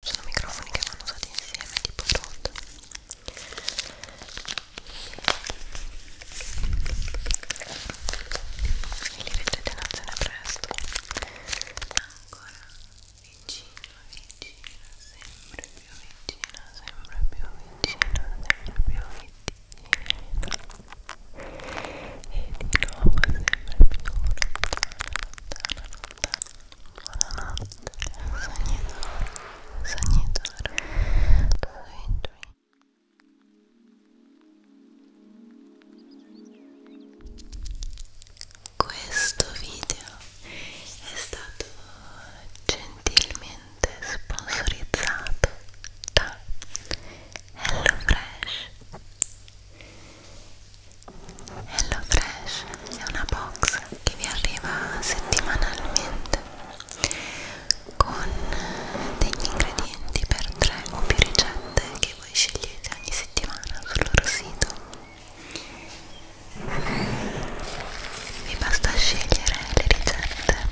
sono microfoni che vanno usati insieme tipo pronto e li vedrete in azione presto ancora vicino vicino sempre più vicino sempre più vicino sempre più vicino e di nuovo sempre più lontana lontana lontana Buonanotte, sognatore, sognatore, sweet dream. Questo video è stato gentilmente sponsorizzato da HelloFresh. HelloFresh è una box che vi arriva settimanalmente con degli ingredienti per tre o più ricette che voi scegliete ogni settimana sul loro sito. Vi basta scegliere le ricette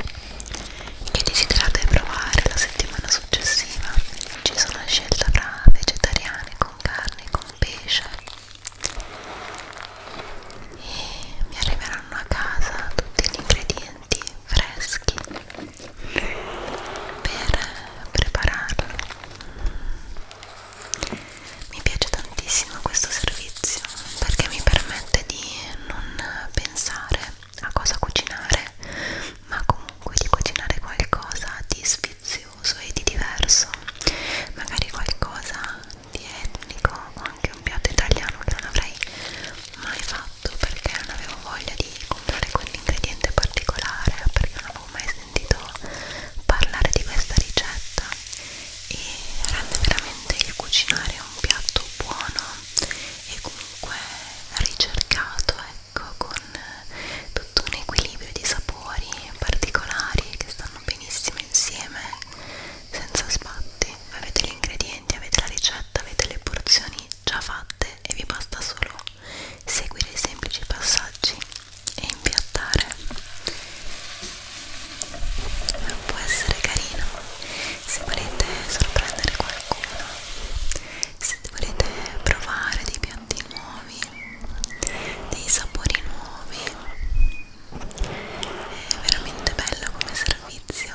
che desiderate provare la settimana successiva. Ci sono scelte tra vegetariane con carne, con pesce e mi arriveranno a casa tutti gli ingredienti freschi per prepararlo mi piace tantissimo questo servizio perché mi permette di non pensare a cosa cucinare ma comunque di cucinare qualcosa di sfizioso uso e di diverso magari qualcosa di etnico o anche un piatto italiano che non avrei mai fatto perché non avevo voglia di comprare quell'ingrediente particolare perché non avevo mai sentito parlare di questa ricetta e rende veramente il cucinare un piatto buono e comunque ricercato ecco con con tutto un equilibrio di sapori particolari che stanno benissimo insieme senza sbatti avete gli ingredienti, avete la ricetta, avete le porzioni già fatte e vi basta solo seguire i semplici passaggi e impiattare può essere carino se volete sorprendere qualcuno se volete provare di piacere ingredienti nuovi, dei sapori nuovi. È veramente bello come servizio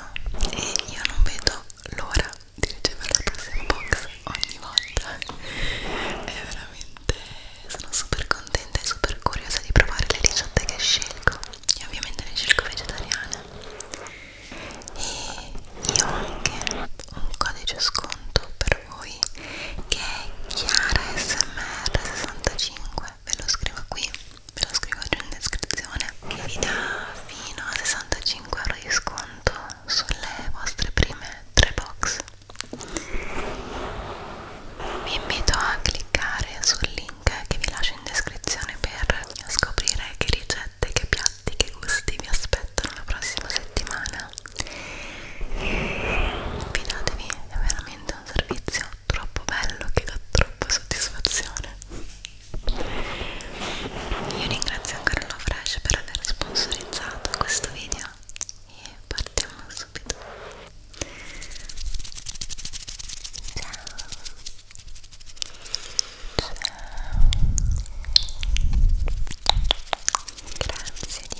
e io non vedo l'ora di ricevere la prossima box ogni volta. È veramente sono super contenta e super curiosa di provare le ricette che scelgo. E ovviamente ne scelgo vegetariane. E io ho anche un codice sconto per per voi che è Chiara SMR 65 ve lo scrivo qui ve lo scrivo giù in descrizione che vi dà fino a 65 euro di sconto sulle vostre prime tre box vi invito a cliccare sul link che vi lascio in descrizione per scoprire che ricette, che piatti, che gusti vi aspettano la prossima settimana fidatevi è veramente un servizio troppo bello che dà troppa soddisfazione io ringrazio ancora la Fresh per aver sponsorizzato questo video e partiamo subito ciao ciao grazie di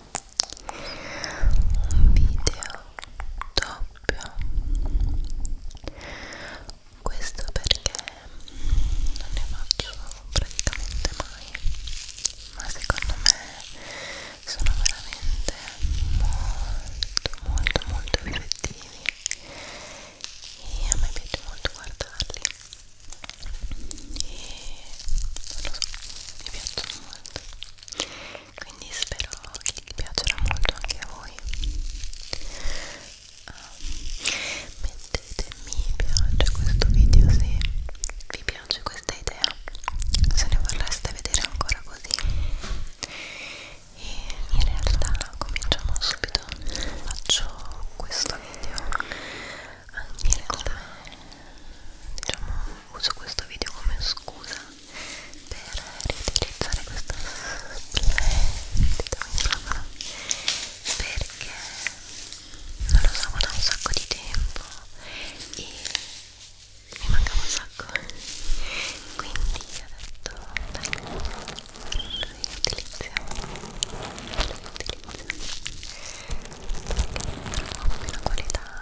un video doppio questo perché non ne faccio praticamente mai ma secondo me sono veramente molto molto molto effettivi e a me piace molto guardarli e non lo so, mi piacciono molto quindi spero che vi piacerà molto anche a voi um, ehm, mettete mi piace a questo video se vi piace questa idea se ne vorreste vedere ancora così e in realtà cominciamo subito faccio questo video anche come diciamo uso questo video come scusa per riutilizzare questa splendida microfono perché non lo so da un sacco di tempo e mi mancava un sacco quindi ho detto dai riutilizziamo riutilizziamo perché trovo una qualità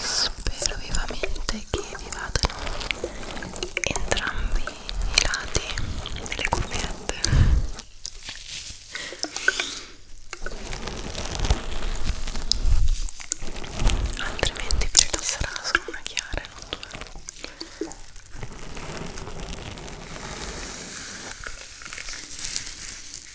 spero vivamente che vi vadano entrambi i lati delle cuffiette altrimenti vi rilasserà solo una chiara e non due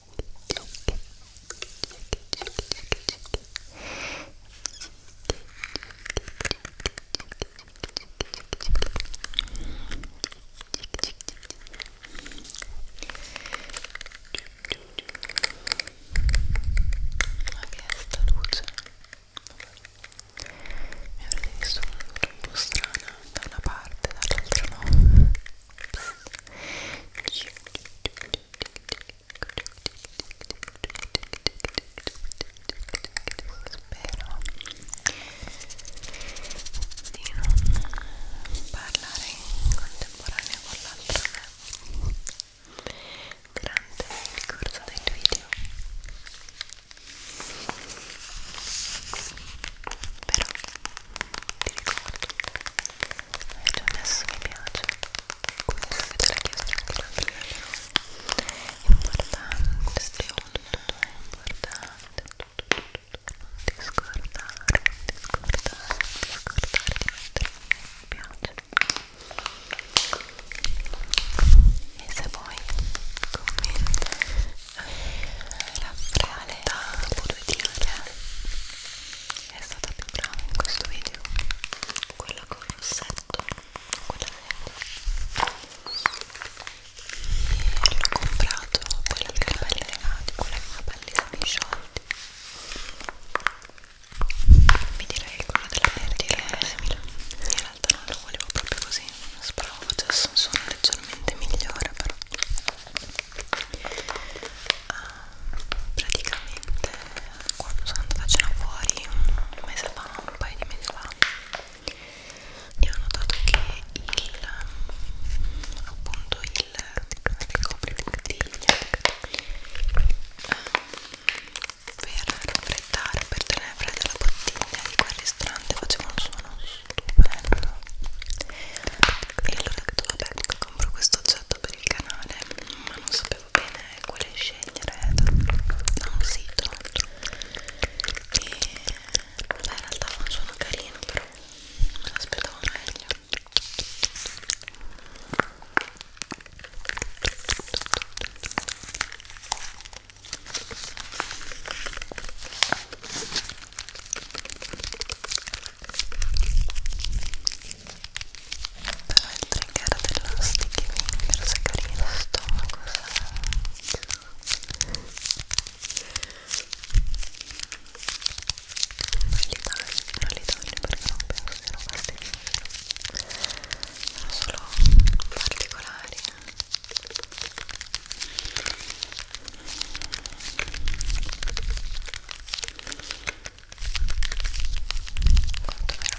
sta luce mi avrete visto un po' strana da una parte, dall'altra no spero di non parlare in contemporanea con l'altra me durante il corso del video però ti ricordo hai eh, già messo mi piace questo che te l'ha chiesto anche la importante secondo è importante non ti scordare non ti scordare non ti scordare di mettere mi piace e se vuoi commenta eh, la reale da due tirare è stata più brava in questo video quella con il rossetto quella vera e l'ho comprato quella per i capelli legati quella con i capelli semi sciolti mi direi che quella della verde è simile in realtà non lo volevo proprio così speravo facesse un suono leggermente migliore però uh, praticamente quando sono andata a cena fuori un mese fa, un paio di mesi fa e ho notato che il appunto il ricopri bottiglia ehm, per raffreddare, per tenere fredda la bottiglia di quel ristorante faceva un suono stupendo e allora ho detto vabbè compro questo progetto per il canale ma non sapevo bene quale scegliere da, da un sito e vabbè in realtà non sono carino però me l'aspettavo meglio però il trigger dello sticky finger se carichi lo stomaco non li taglio, non li taglio perché non penso siano fastidiosi sono solo particolari eh. Quanto mi era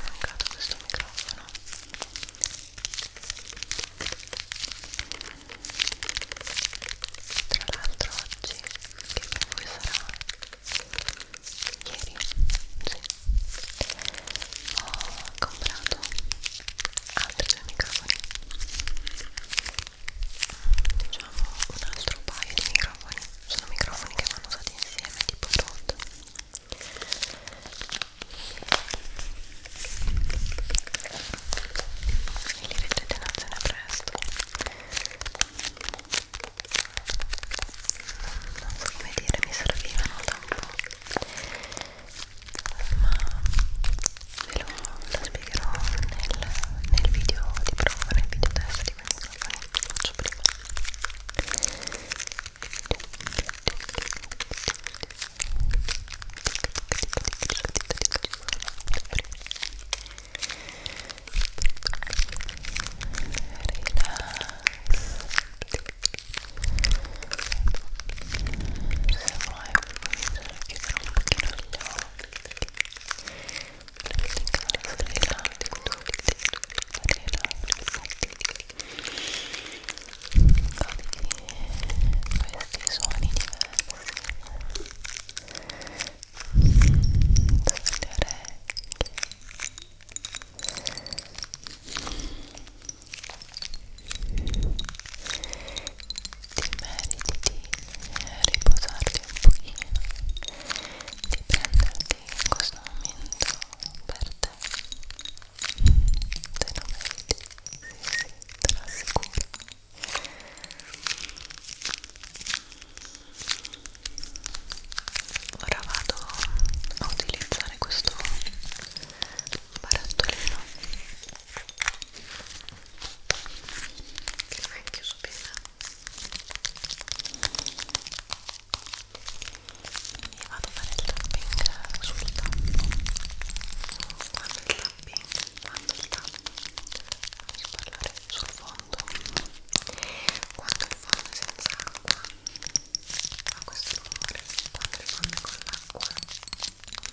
mancato questo microfono? Tra l'altro oggi, che per voi sarà ieri, sì, ho comprato altri due microfoni diciamo un altro paio di microfoni sono microfoni che vanno usati insieme tipo tot e li vedrete in azione presto non so come dire mi servivano da un po' ma ve lo, lo spiegherò nel, nel video di prova, nel video test di quei microfoni che faccio prima se vuoi, chiuderò un pochino gli occhi perché questi suoni diversi dalle orecchie ti meriti di riposarti un pochino di prenderti in questo momento per te te lo meriti, sì, te lo assicuro ora vado a utilizzare questo barattolino che non è chiuso bene e vado a fare il tapping sul tappo quando il tapping quando il tappo voglio parlare sul fondo quando il fondo è senza acqua fa questo rumore quando il fondo è con l'acqua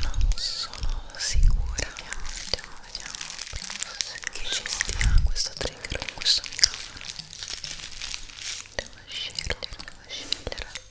Non sono sicura. Vediamo, vediamo, vediamo che ci stia questo trigger in questo microfono. Devo scegliere, devo scegliere.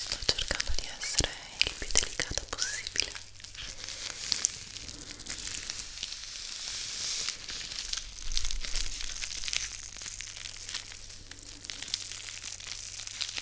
Sto cercando di essere il più delicato possibile.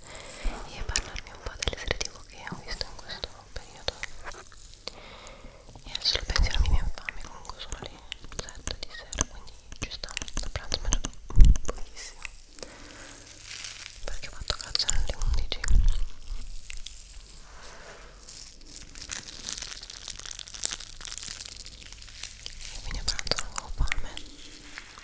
e parlarvi un po' delle serie tv che ho visto in questo periodo e adesso lo pensiero mi viene fame comunque sono le 7 di sera quindi ci sta da pranzo mangiato pochissimo perché ho fatto caccia alle 11 e quindi a pranzo non avevo fame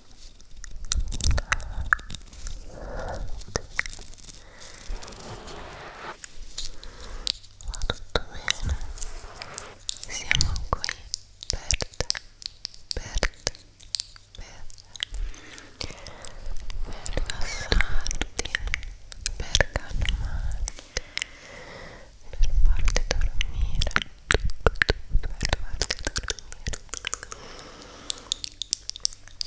Va tutto bene. Siamo qui per te, per te, per, per rilassarti, per calmarti, per farti dormire, per farti dormire.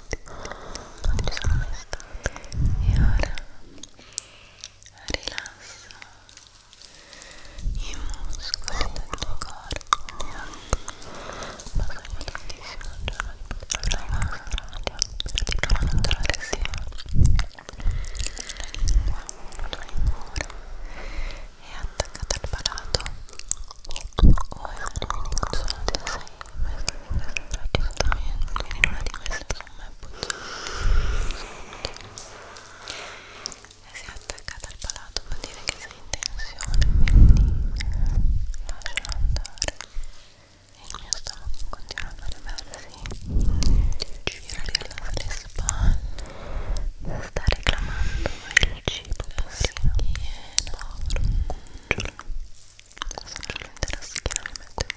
non ci sono mai stata e ora rilasso i muscoli del tuo corpo ma sono tantissimo il giorno di poterlo rilassare per di non entrare sia la lingua, la lingua è attaccata al palato o è un minimo solo del 6 quindi nulla di questo insomma è appoggiata e si è attaccata al palato vuol dire che sei in tensione quindi lasciala andare il mio stomaco continua a lavarsi girare le spalle sta reclamando il cibo passino povero cucciolo adesso c'è l'intera schiena mi metto in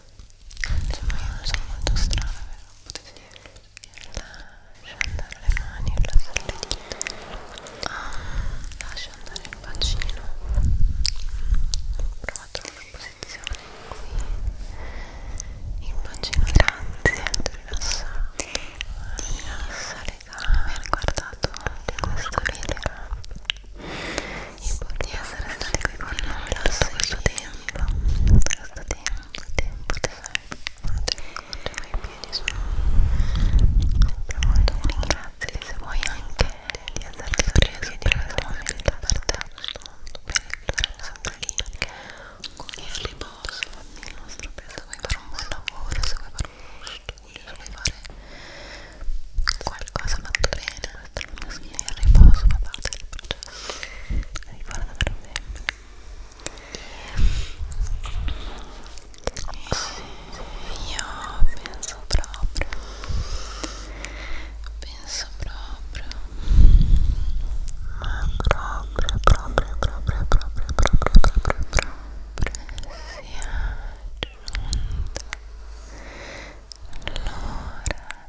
insomma io non sono molto strana vero? potete dirlo lascia andare le mani lascia le dita ah, lascia andare il bacino prova a trovare una posizione qui il bacino grazie rilassa rilassa le gambe guardato questo video e di essere stati qui con noi lascia il suo tempo tempo questo tempo tempo tesoro i piedi sono sempre molto ringraziali se vuoi anche di esserti sorriso e di averti da parte questo mondo bello sempre lì perché con il riposo il nostro peso vuoi fare un buon lavoro se vuoi fare un studio se vuoi fare qualcosa fatto bene questa è la mia schiena in riposo fa parte del processo riguarda per me e io penso proprio penso proprio ma proprio proprio proprio proprio proprio proprio proprio sia giunta l'ora